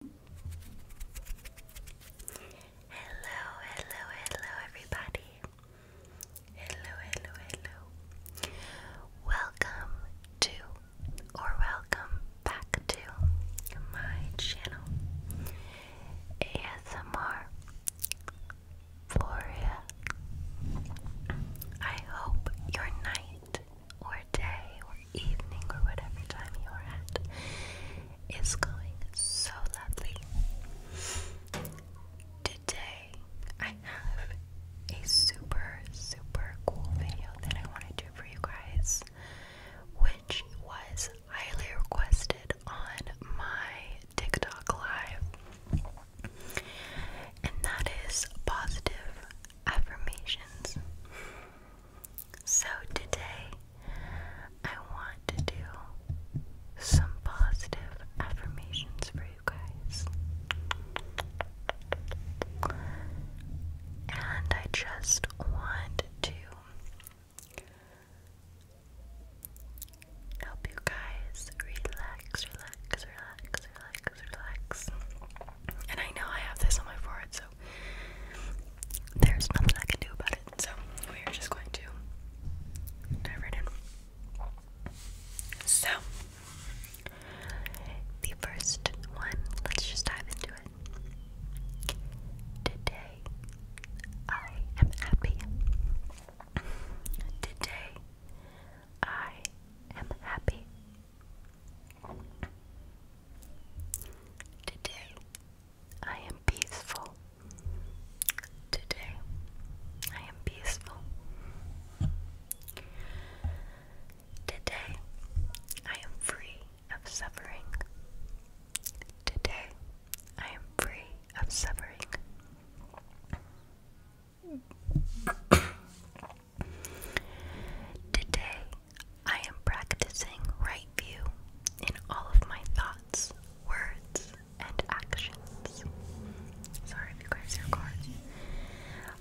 Hello, hello, hello, everybody. Hello, hello, hello. Welcome to, or welcome back to, my channel ASMR Floria. I hope your night or day or evening or whatever time you're at is going so lovely. Today I have a super, super cool video that I want to do for you guys, which was highly requested on my TikTok live, and that is positive affirmations. So today I want to do some positive affirmations for you guys. And I just want to help you guys relax, relax, relax, relax, relax, And I know I have this on my forehead, so there's nothing I can do about it. So we are just going to dive right in. So the first one, let's just dive into it. Today I am happy. Today I am happy. Today I am peaceful. Today I am peaceful. Today I am free of suffering. Today I am free of suffering. Today, I am practicing right view in all of my thoughts, words, and actions. Sorry if you guys hear cars.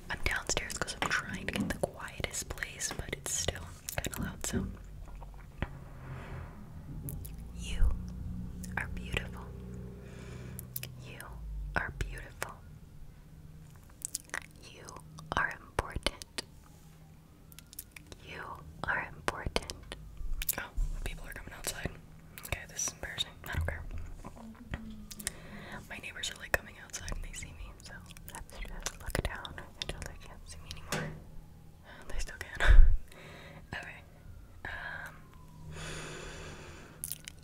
I'm downstairs because I'm trying to get the quietest place, but it's still kind of loud, so. You are beautiful. You are beautiful. You are important. You are important. Oh, people are coming outside. Okay, this is embarrassing. I don't care. My neighbors are like coming outside and they see me, so look down until they can't see me anymore. Oh, they still can. okay. Um,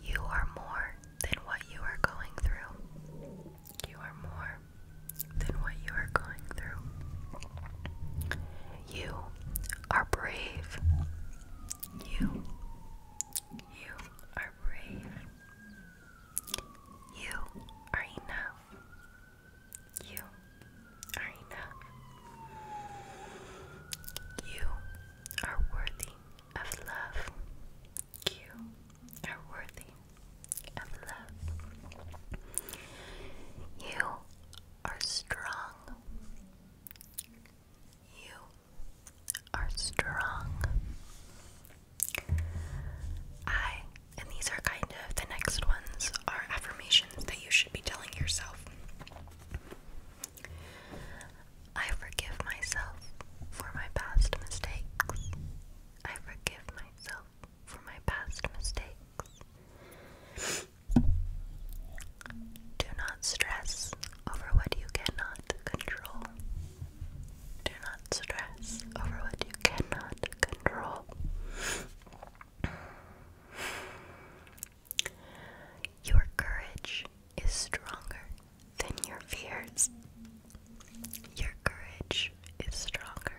you are more than what you are going through. You are more than what you are going through. You are brave. You. You are brave. You are enough. You are enough. You are worthy of love. You are worthy of love. You are strong. You are strong. I, and these are kind of the next ones, are affirmations that you should be telling yourself. I forgive myself for my past mistakes. I forgive myself for my past mistakes. Do not stress over what you cannot control. Do not stress over what you cannot control. Your courage is stronger than your fears. Your courage is stronger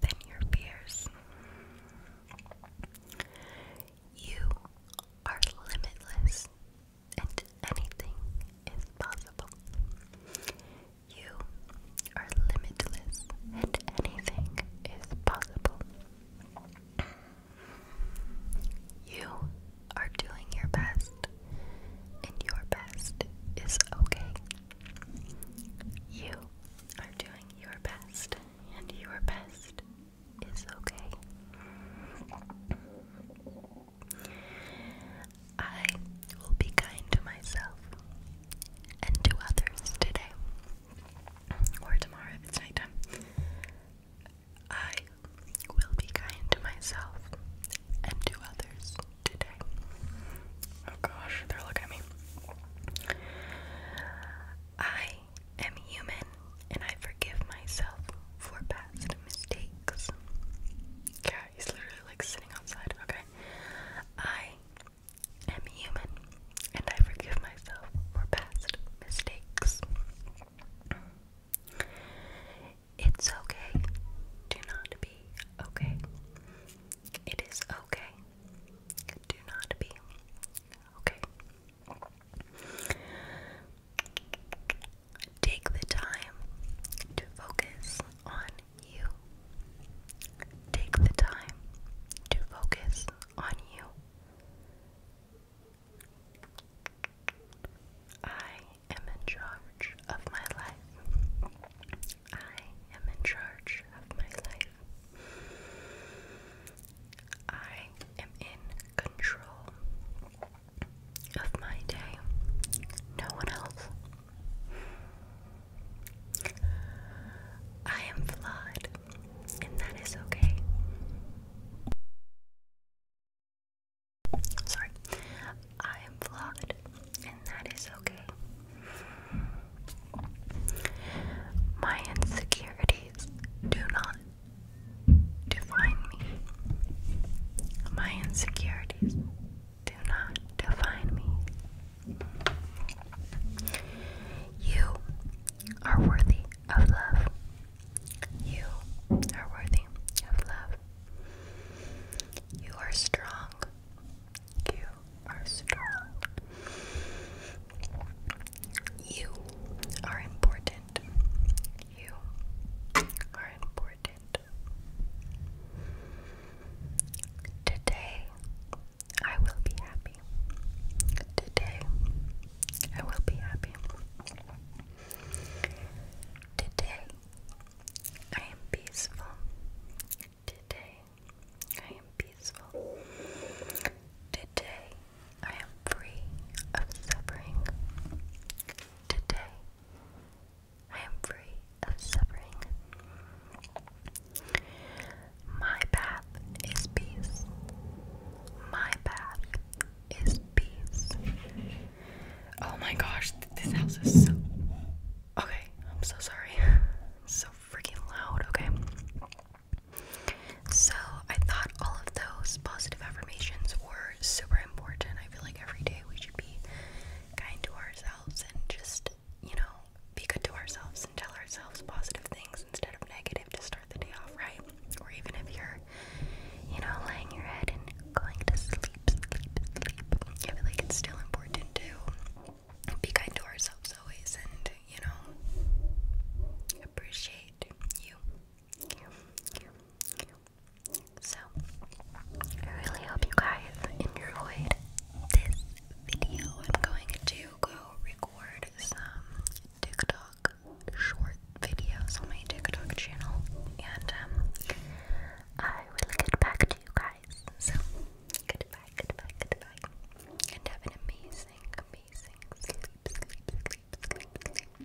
than your fears. You are limitless, and anything is possible. You are limitless, and anything is possible. You are doing your best, and your best is okay. You are doing your best, and your best is okay. I will be kind to myself and to others today or tomorrow if it's nighttime, I will be kind to myself and to others today. Oh gosh, they're looking at me. I am human and I forgive myself for past mistakes. Yeah, he's literally like sitting outside. Okay. I am human and I forgive myself for past mistakes. It's okay do not be okay. It is okay. Do not be okay. Take the time to focus on you. Take the time to focus on you. I am in charge of my life. I am in charge of my life. I am in control of my day. No one else I am flawed, and that is okay. Sorry. I am flawed, and that is okay. My insecurities do not define me. My insecurities do not define me. You are worthy of love. You are worthy of love. You are strong. You are strong. You are important. You are important. Today I will be happy. Today I will be happy. Today I am peaceful. Today I am peaceful. Today I am free of suffering. Today I am free of suffering. My path is peace. My path is peace. Oh my gosh, this house is so. Okay, I'm so sorry. so freaking loud, okay? So, I thought all of those positive affirmations were super important. I feel like every day we should be kind to ourselves and just, you know, be good to ourselves and tell ourselves positive things instead of negative to start the day off right. Or even if you're, you know, laying your head and going to sleep, sleep, sleep. I feel like it's still important to be kind to ourselves always and, you know, appreciate you, so, I really hope you guys enjoyed this video. I'm going to go record some TikTok short videos on my TikTok channel, and um, I will get back to you guys. So, goodbye, goodbye, goodbye, and have an amazing, amazing sleep.